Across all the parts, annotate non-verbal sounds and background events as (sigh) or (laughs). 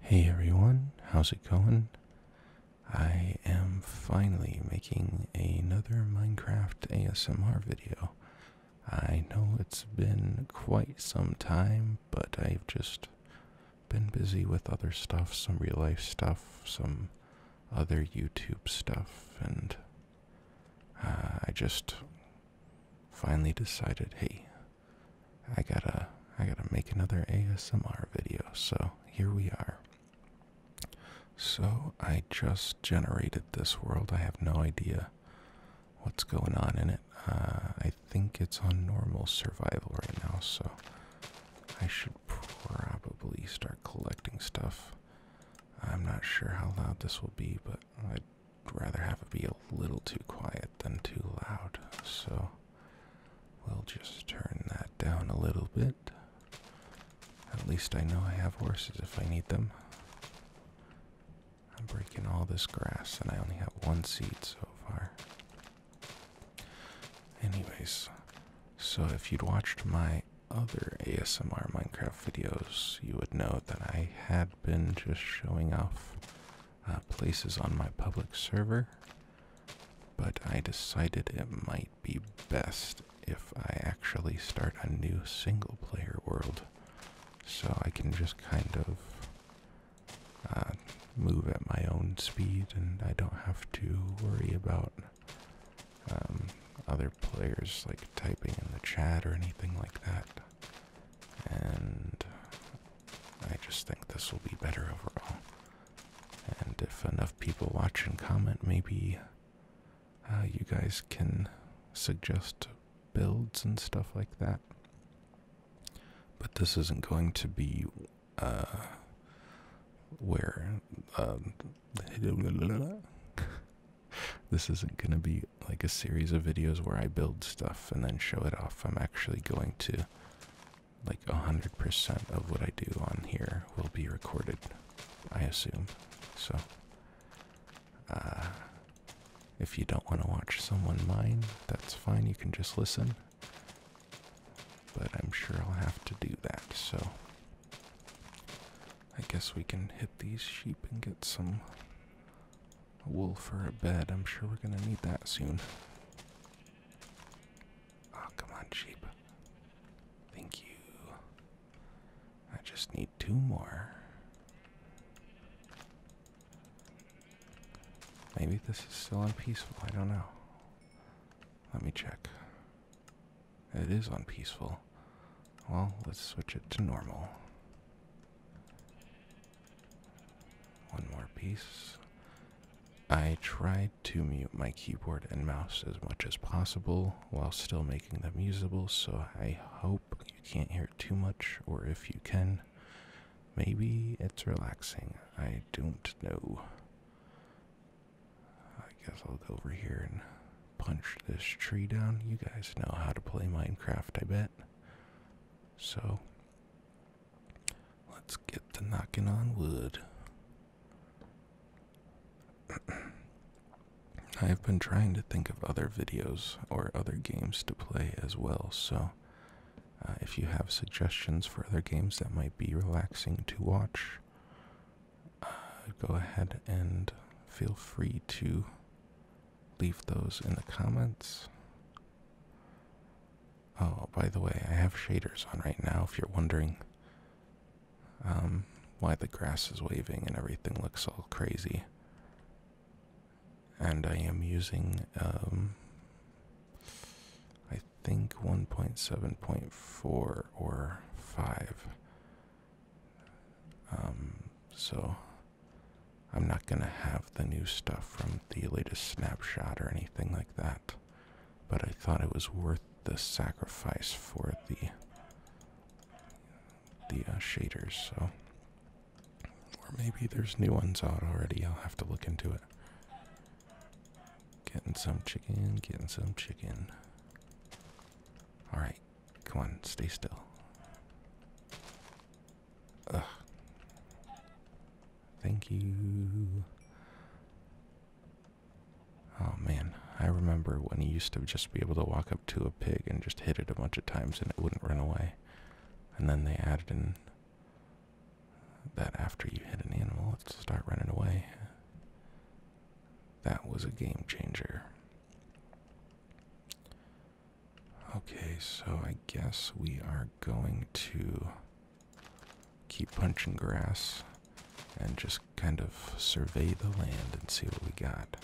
Hey everyone, how's it going? I am finally making another Minecraft ASMR video. I know it's been quite some time, but I've just been busy with other stuff, some real life stuff, some other YouTube stuff, and uh, I just finally decided hey, I gotta I gotta make another ASMR video, so here we are. So I just generated this world. I have no idea what's going on in it. Uh, I think it's on normal survival right now, so I should probably start collecting stuff. I'm not sure how loud this will be, but I'd rather have it be a little too quiet than too loud. So We'll just turn that down a little bit. At least I know I have horses if I need them. I'm breaking all this grass and I only have one seed so far. Anyways, so if you'd watched my other ASMR Minecraft videos, you would know that I had been just showing off uh, places on my public server, but I decided it might be best if I actually start a new single player world so I can just kind of uh, move at my own speed and I don't have to worry about um, other players like typing in the chat or anything like that and I just think this will be better overall. And if enough people watch and comment, maybe uh, you guys can suggest builds and stuff like that. But this isn't going to be uh, where. Um, (laughs) this isn't going to be like a series of videos where I build stuff and then show it off. I'm actually going to to like 100% of what I do on here will be recorded, I assume. So, uh, if you don't want to watch someone mine, that's fine. You can just listen. But I'm sure I'll have to do that. So, I guess we can hit these sheep and get some a wool for a bed. I'm sure we're gonna need that soon. Oh, come on, sheep. Thank you. I just need two more. Maybe this is still on peaceful. I don't know. Let me check. It is on peaceful. Well, let's switch it to normal. One more piece. I tried to mute my keyboard and mouse as much as possible while still making them usable, so I hope you can't hear it too much, or if you can, maybe it's relaxing. I don't know. I guess I'll go over here and punch this tree down. You guys know how to play Minecraft, I bet. So, Let's get to knocking on wood. (clears throat) I have been trying to think of other videos or other games to play as well, so uh, if you have suggestions for other games that might be relaxing to watch, uh, go ahead and feel free to leave those in the comments. Oh, by the way, I have shaders on right now if you're wondering um, why the grass is waving and everything looks all crazy. And I am using, um, I think 1.7.4 or 5. Um, so I'm not going to have the new stuff from the latest snapshot or anything like that, but I thought it was worth the sacrifice for the the uh, shaders. So, or maybe there's new ones out already. I'll have to look into it. Getting some chicken, getting some chicken. All right, come on, stay still. Ugh. Thank you. Oh man, I remember when he used to just be able to walk up to a pig and just hit it a bunch of times and it wouldn't run away. And then they added in that after you hit an animal, it start running away. That was a game changer. Okay, so I guess we are going to keep punching grass and just kind of survey the land and see what we got.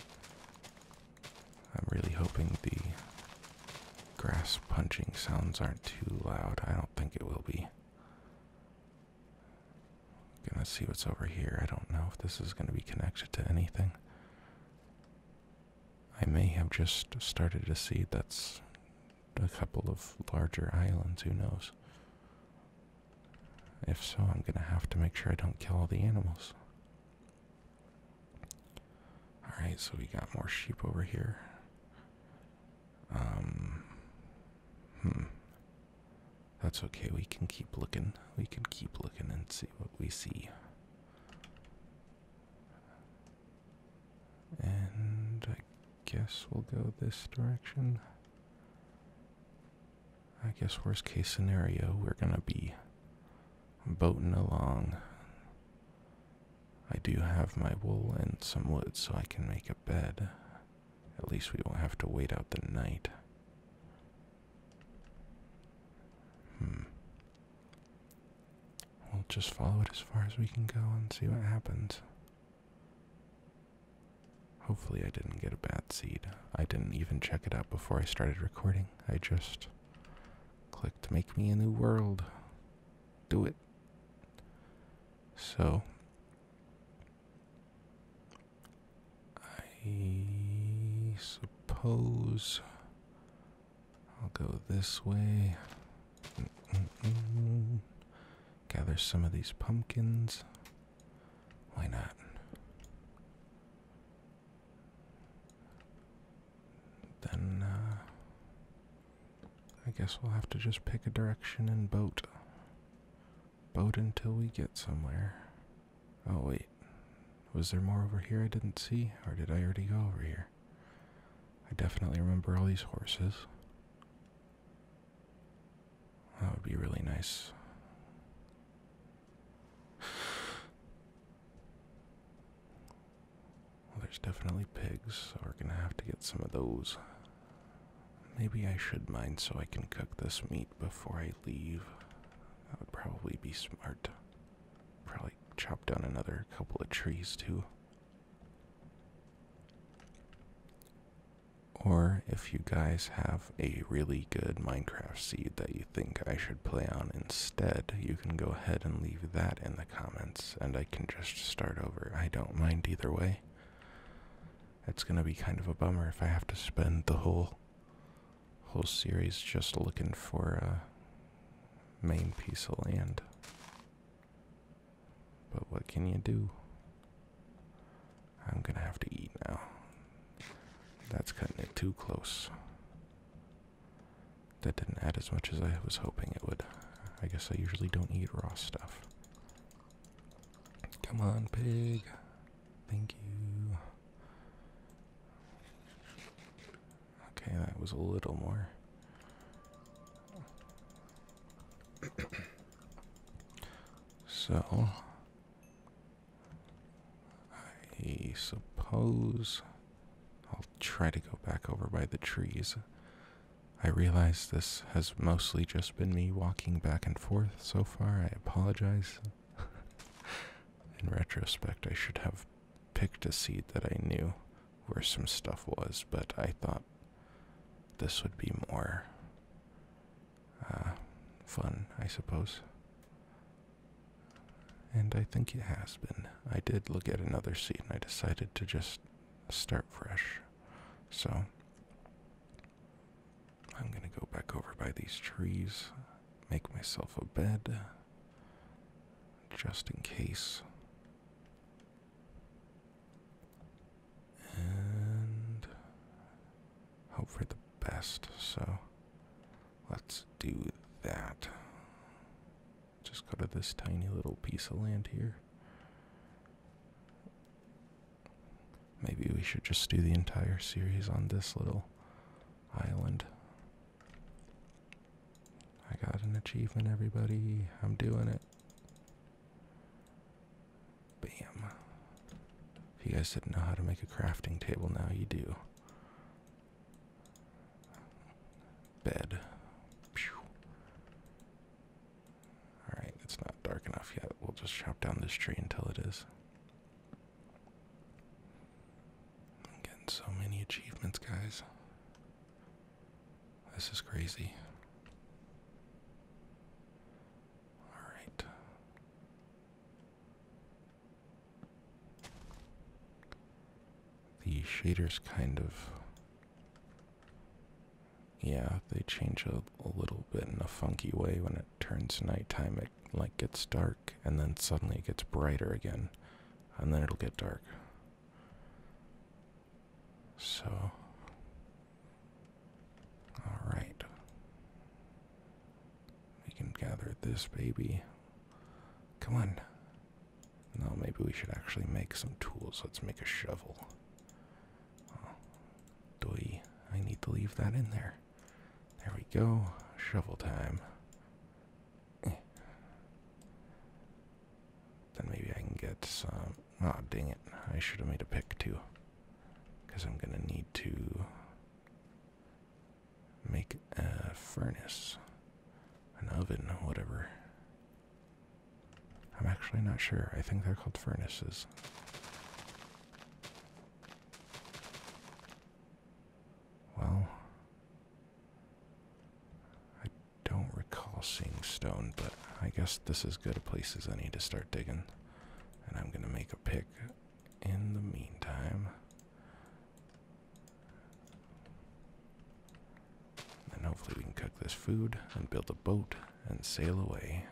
I'm really hoping the grass punching sounds aren't too loud. I don't think it will be. gonna see what's over here. I don't know if this is gonna be connected to anything. I may have just started to see that's a couple of larger islands, who knows? If so, I'm gonna have to make sure I don't kill all the animals. Alright, so we got more sheep over here. Um. Hmm. That's okay, we can keep looking. We can keep looking and see what we see. And I guess we'll go this direction. I guess, worst case scenario, we're gonna be boating along. I do have my wool and some wood so I can make a bed. At least we won't have to wait out the night. Hmm. We'll just follow it as far as we can go and see what happens. Hopefully, I didn't get a bad seed. I didn't even check it out before I started recording. I just clicked Make Me a New World. Do it. So. I suppose I'll go this way. Gather some of these pumpkins. Why not? Then uh, I guess we'll have to just pick a direction and boat. Boat until we get somewhere. Oh, wait. Was there more over here I didn't see, or did I already go over here? I definitely remember all these horses. That would be really nice. Well, there's definitely pigs, so we're gonna have to get some of those. Maybe I should mine so I can cook this meat before I leave. That would probably be smart. Probably chop down another couple of trees too. Or if you guys have a really good Minecraft seed that you think I should play on instead, you can go ahead and leave that in the comments and I can just start over. I don't mind either way. It's going to be kind of a bummer if I have to spend the whole whole series just looking for a uh, main piece of land. But what can you do? I'm gonna have to eat now. That's cutting it too close. That didn't add as much as I was hoping it would. I guess I usually don't eat raw stuff. Come on, pig. Thank you. Okay, that was a little more. So, I suppose I'll try to go back over by the trees. I realize this has mostly just been me walking back and forth so far. I apologize. (laughs) In retrospect, I should have picked a seat that I knew where some stuff was, but I thought this would be more uh, fun, I suppose. And I think it has been. I did look at another seat, and I decided to just start fresh. So I'm going to go back over by these trees, make myself a bed just in case. And hope for the best, so let's do that. Just go to this tiny little piece of land here. Maybe we should just do the entire series on this little island. I got an achievement, everybody. I'm doing it. Bam. If you guys didn't know how to make a crafting table, now you do. Bed. Alright, it's not dark enough yet. We'll just chop down this tree until it is. I'm getting so many achievements, guys. This is crazy. All right. The shaders kind of. Yeah, they change a, little bit in a funky way when it turns nighttime. Light gets dark and then suddenly it gets brighter again and then it'll get dark. So all right. We can gather this baby. Come on. No, maybe we should actually make some tools. Let's make a shovel. Oh, I need to leave that in there. There we go. Shovel time. Eh. Then maybe I can get some. Oh, dang it. I should have made a pick too. Because I'm going to need to make a furnace, an oven, whatever. I'm actually not sure. I think they're called furnaces. Well, I don't recall seeing stone, but I guess this is good a place as I need to start digging. And I'm gonna make a pick in the meantime. And hopefully we can cook this food and build a boat and sail away.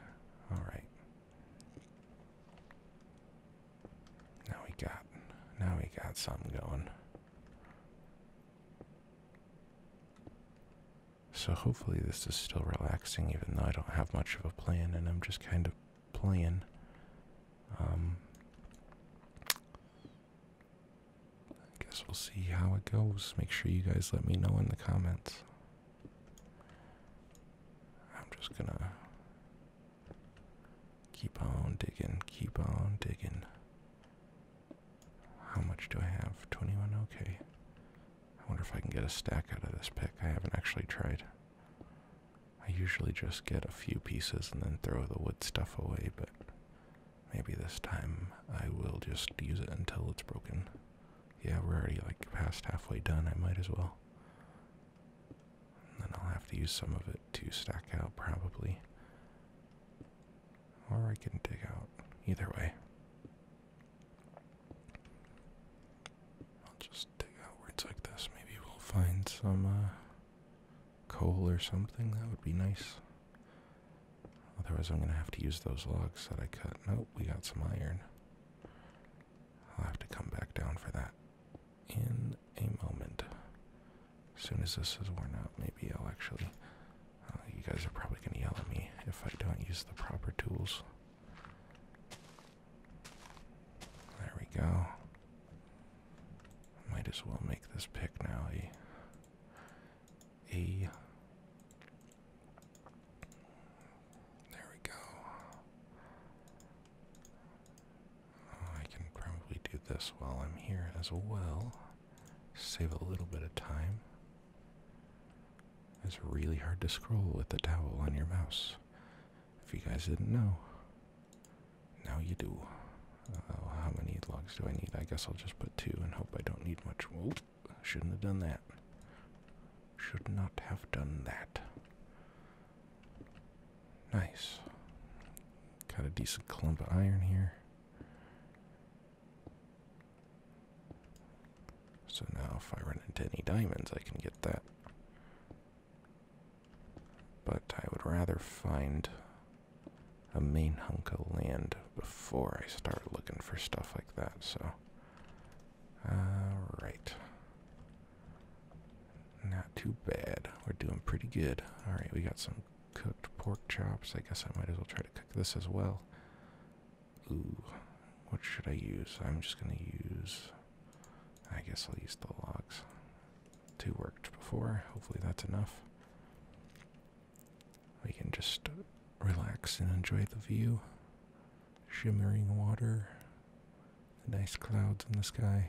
Alright. Now we got now we got something going. So hopefully this is still relaxing even though I don't have much of a plan and I'm just kind of playing. Um I guess we'll see how it goes. Make sure you guys let me know in the comments. I'm just gonna Keep on digging, keep on digging. How much do I have? 21? Okay. I wonder if I can get a stack out of this pick. I haven't actually tried. I usually just get a few pieces and then throw the wood stuff away, but maybe this time I will just use it until it's broken. Yeah, we're already like past halfway done. I might as well then I'll have to use some of it to stack out, probably. Or I can dig out. Either way. I'll just dig outwards like this. Maybe we'll find some uh, coal or something. That would be nice. Otherwise, I'm going to have to use those logs that I cut. Nope, we got some iron. I'll have to come back down for that in a moment. As soon as this is worn out, maybe I'll actually. Uh, you guys are probably going to yell at me if I don't use the proper tools. There we go. Might as well make this pick now a. Eh? A. There we go. Oh, I can probably do this while I'm here as well. Save a little bit of time. It's really hard to scroll with the towel on your mouse. If you guys didn't know, now you do. Oh, how many logs do I need? I guess I'll just put two and hope I don't need much. Whoa, shouldn't have done that. Should not have done that. Nice. Got a decent clump of iron here. So now if I run into any diamonds, I can get that. But I would rather find a main hunk of land before I start looking for stuff like that, so. Alright. Not too bad. We're doing pretty good. Alright, we got some cooked pork chops. I guess I might as well try to cook this as well. Ooh, what should I use? I'm just going to use. I guess I'll use the logs. Two worked before. Hopefully that's enough. We can just relax and enjoy the view. Shimmering water, nice clouds in the sky.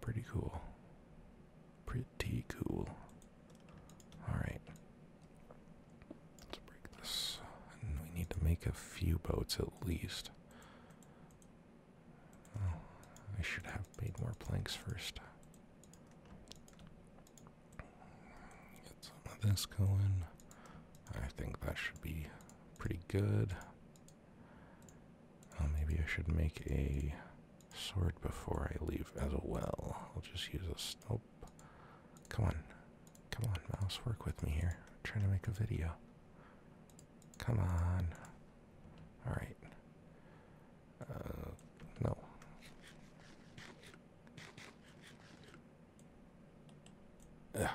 Pretty cool. Pretty cool. Alright. Let's break this. we need to make a few boats at least. Oh, I should have made more planks first. Get some of this going. I think that should be pretty good. Oh, maybe I should make a sword before I leave as well. I'll just use a Nope. Come on. Come on, mouse. Work with me here. trying to make a video. Come on. Alright. Uh, no. Ugh.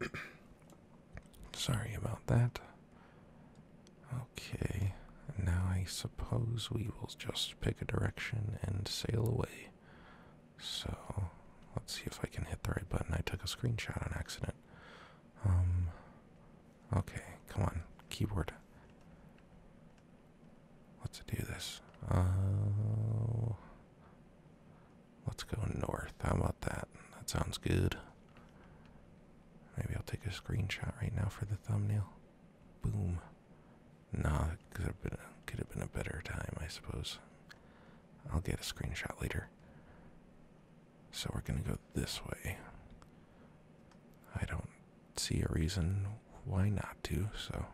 (coughs) Sorry about that. Okay, now I suppose we will just pick a direction and sail away. So, let's see if I can hit the right button. I took a screenshot on accident. Um, okay, come on, keyboard. Let's do this. Uh, let's go north. How about that? That sounds good. Maybe I'll take a screenshot right now for the thumbnail. Boom. Nah, could have been could have been a better time, I suppose. I'll get a screenshot later. So we're gonna go this way. I don't see a reason why not to, so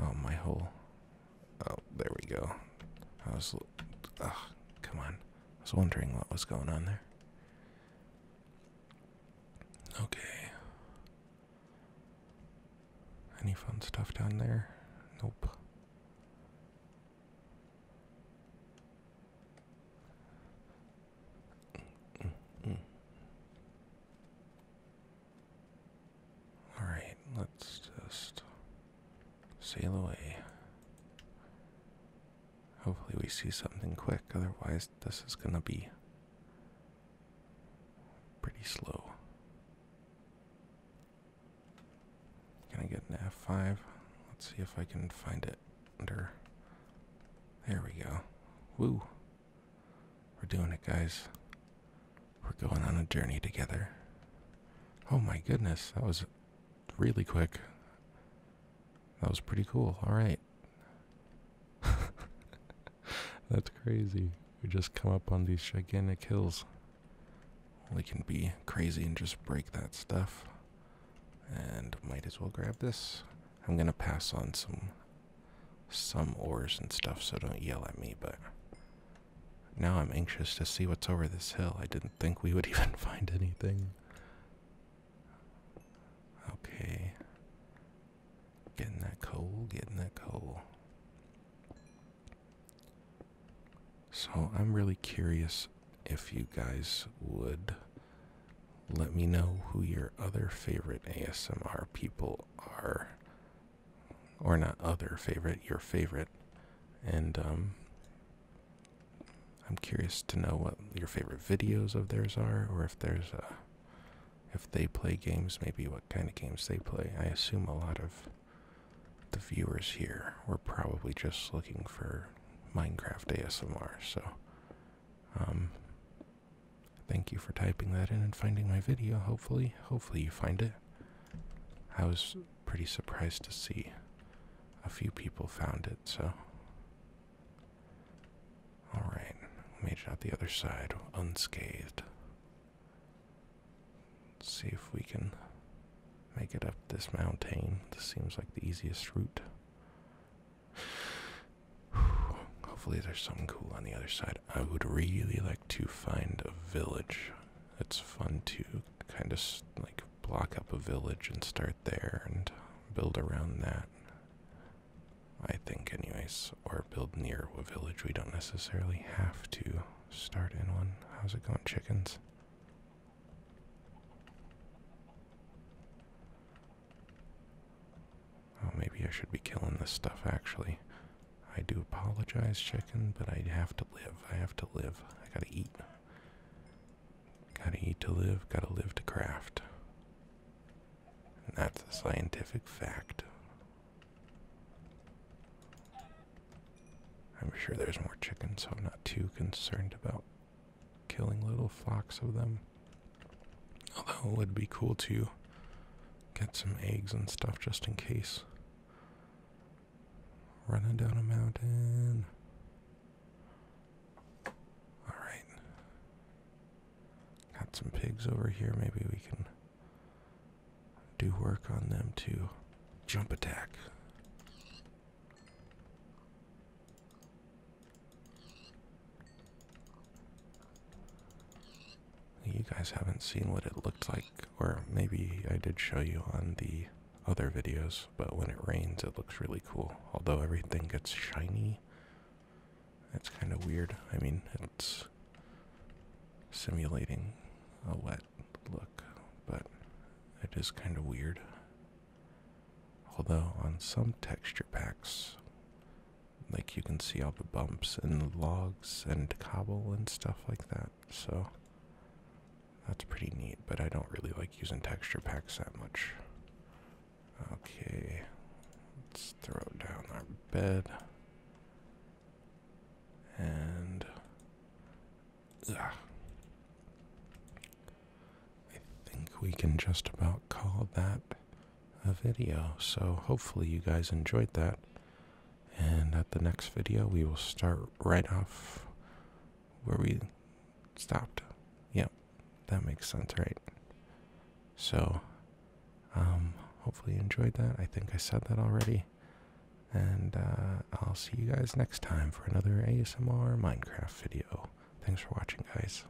Oh, my hole. Oh, there we go. I was. Ugh, come on. I was wondering what was going on there. Okay. Any fun stuff down there? Nope. Mm, mm, mm. Alright, let's just sail away. Hopefully, we see something quick, otherwise, this is gonna be pretty slow. Can I get an F5? Let's see if I can find it under. There we go. Woo! We're doing it, guys. We're going on a journey together. Oh my goodness, that was really quick. That was pretty cool. All right. (laughs) That's crazy. We just come up on these gigantic hills. We can be crazy and just break that stuff. And might as well grab this. I'm gonna pass on some some ores and stuff, so don't yell at me, but now I'm anxious to see what's over this hill. I didn't think we would (laughs) even find anything. Okay. Getting that coal, getting that coal. So I'm really curious if you guys would let me know who your other favorite ASMR people are. Or not other favorite, your favorite. And um, I'm curious to know what your favorite videos of theirs are, or if there's a. If they play games, maybe what kind of games they play. I assume a lot of the viewers here were probably just looking for Minecraft ASMR, so um, Thank you for typing that in and finding my video. Hopefully, hopefully you find it. I was pretty surprised to see a few people found it, so. Alright, made it out the other side unscathed. Let's see if we can make it up this mountain. This seems like the easiest route. Hopefully, there's something cool on the other side. I would really like to find a village. It's fun to kind of like block up a village and start there and build around that. I think, anyways, or build near a village. We don't necessarily have to start in one. How's it going, chickens? Oh, maybe I should be killing this stuff, actually. I do apologize, chicken, but I have to live. I have to live. I gotta eat. Gotta eat to live, gotta live to craft. And that's a scientific fact. I'm sure there's more chickens, so I'm not too concerned about killing little flocks of them. Although it would be cool to get some eggs and stuff just in case. Running down a mountain. Alright. Got some pigs over here. Maybe we can do work on them too. Jump attack. You guys haven't seen what it looked like, or maybe I did show you on the other videos, but when it rains, it looks really cool. Although everything gets shiny, it's kind of weird. I mean, it's simulating a wet look, but it is kind of weird. Although, on some texture packs, like you can see all the bumps and logs and cobble and stuff like that. So that's pretty neat, but I don't really like using texture packs that much. Okay, let's throw down our bed. And ugh, I think we can just about call that a video. So hopefully you guys enjoyed that. And at the next video, we will start right off where we stopped. Yep, that makes sense, right? So, um, hopefully you enjoyed that. I think I said that already. And uh, I'll see you guys next time for another ASMR Minecraft video. Thanks for watching, guys.